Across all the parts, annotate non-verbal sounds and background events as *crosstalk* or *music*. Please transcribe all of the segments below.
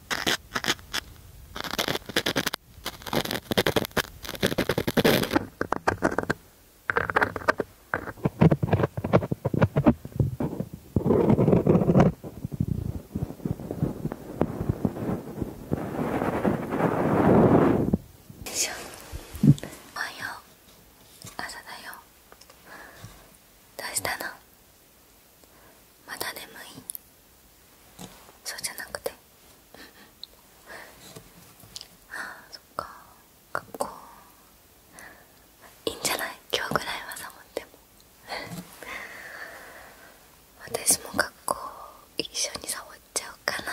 おはよう朝だよどうしたのまだ眠いそうじゃなくてああそっか学校いいんじゃない今日ぐらいはサボっても私も学校一緒にサボっちゃおうかな、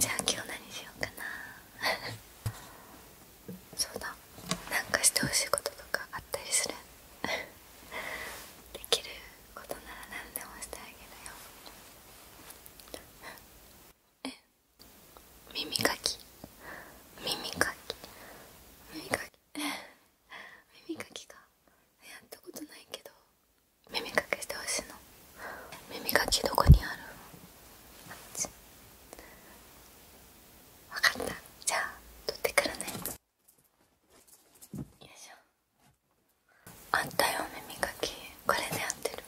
じゃあ今日何しようかな *laughs* そうだなんかしてほしいこととかあったりするできることなら何でもしてあげるよ *laughs* え耳かき耳かき耳かき *laughs* 耳かきかやったことないけど耳かきしてほしいの耳かきどこにあるあっち分かったじゃあ取ってくるねよいしょあったよ耳かきこれで合ってる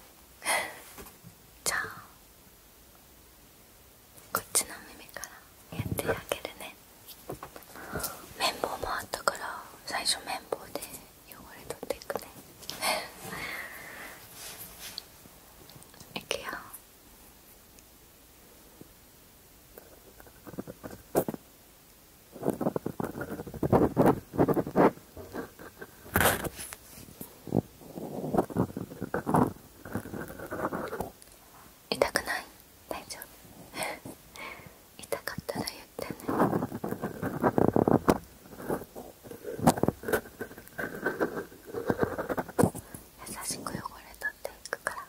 *laughs* じゃあこっちの耳からやってあげるね綿棒もあったから最初綿棒で汚れ取っていくね *laughs* いくよ痛くない大丈夫 *laughs* 痛かったら言ってね優しく汚れ取っていくからね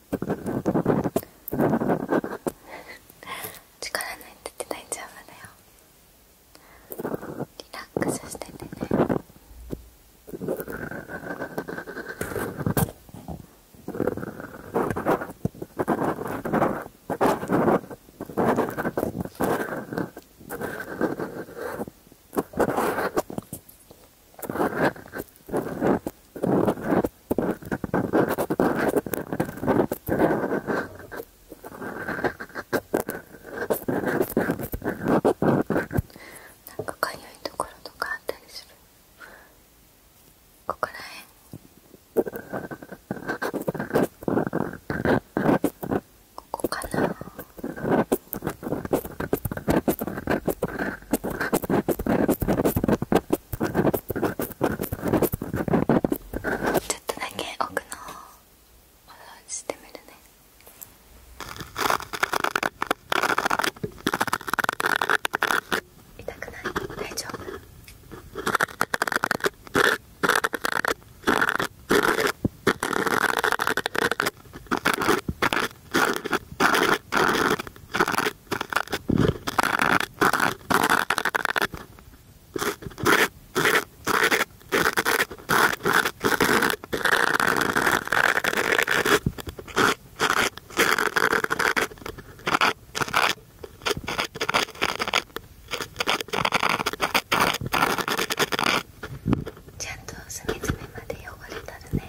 *laughs* 力抜いって大丈夫だよリラックスしててねなんかかゆいところとかあったりするここからへここかなちょっとだけ奥の方お掃除してみるね痛くない大丈夫ちゃんと隅々まで汚れたらね。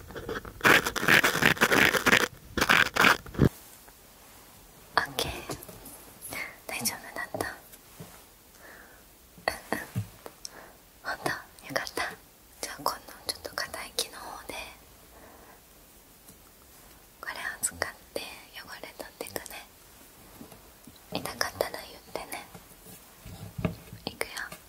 オッケー大丈夫だったうんうんほんとよかったじゃあ今度ちょっと硬い木の方でこれを使って汚れ取ってくね痛かったら言ってねいくよ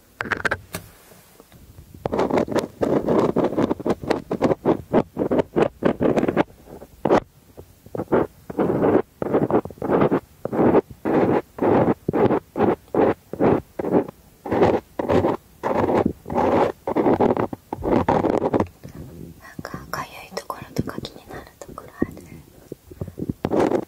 なんかかゆいところとか気になるところある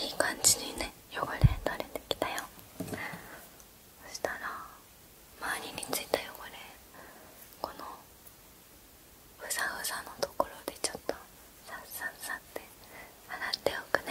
いい感じにね汚れ取れてきたよそしたら周りについた汚れこのふさふさのところでちょっとさっさっさって洗っておくね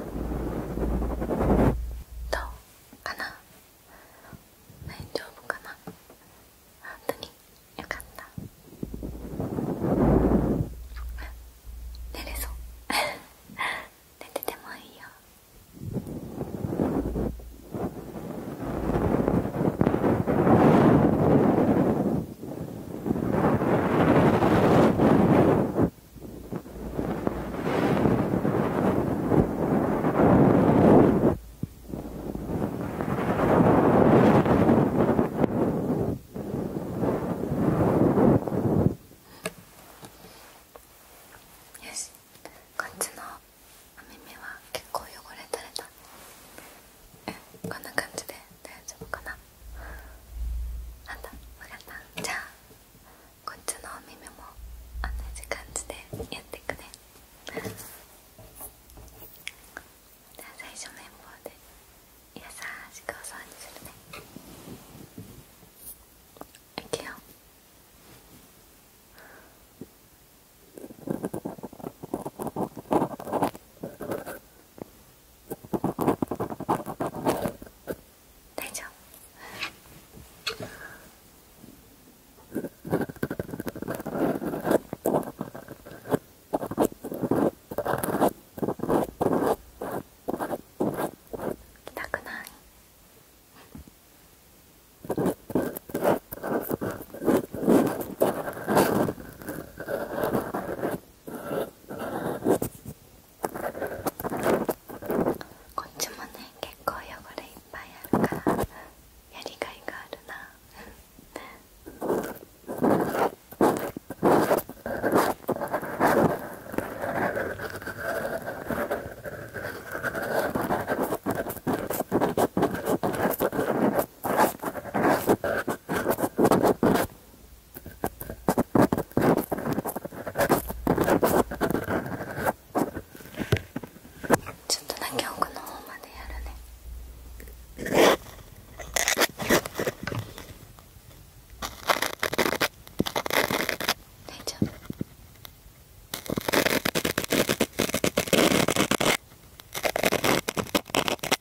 どうかな大丈夫かな本当によかった寝れそう *laughs* 寝ててもいいよ「よしこっちのお耳は結構汚れ取れたこんな感じで大丈夫かななんだ分かったじゃあこっちのお耳も同じ感じでやってくねじゃあ最初綿棒で優しくお掃除するねいくよあ大丈夫たくないこっちもね結構汚れいっぱいあるからやりがいがあるなこちょっとだけ奥の方までやるね大丈夫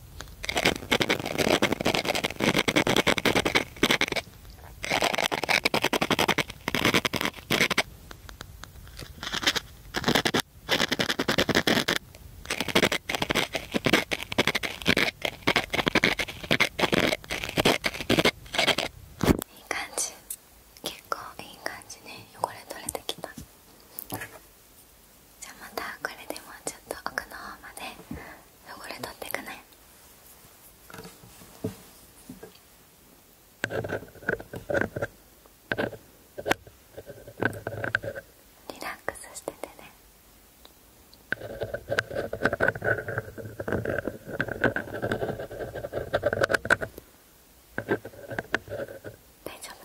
いい感じ結構いい感じね汚れ取れてきたじゃあまたこれでもうちょっと奥の方まで汚れ取ってくねリラックスしててね大丈夫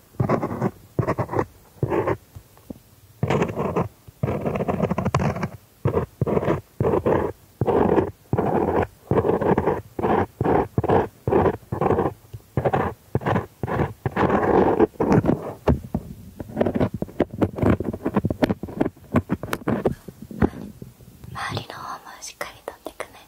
周りの方もしっかりとってくね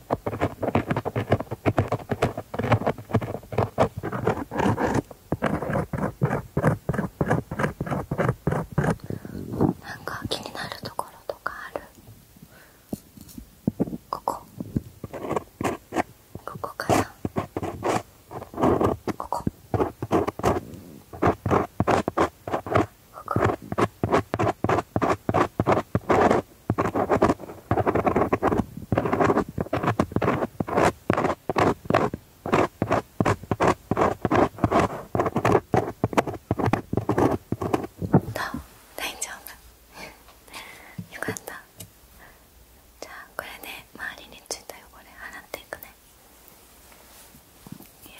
なんか気になるところとかあるここここかなここここ大丈夫 *laughs* よかったじゃあこれで周りについた汚れ洗っていくねいいよ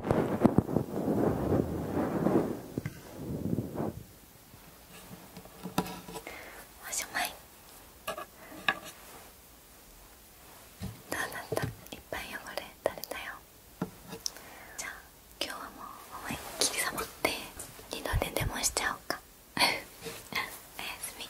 おしまいどうだったいっぱい汚れ垂れたよじゃあ今日はもう思いっきりサボって二度寝でもしちゃおうか *laughs* おやすみ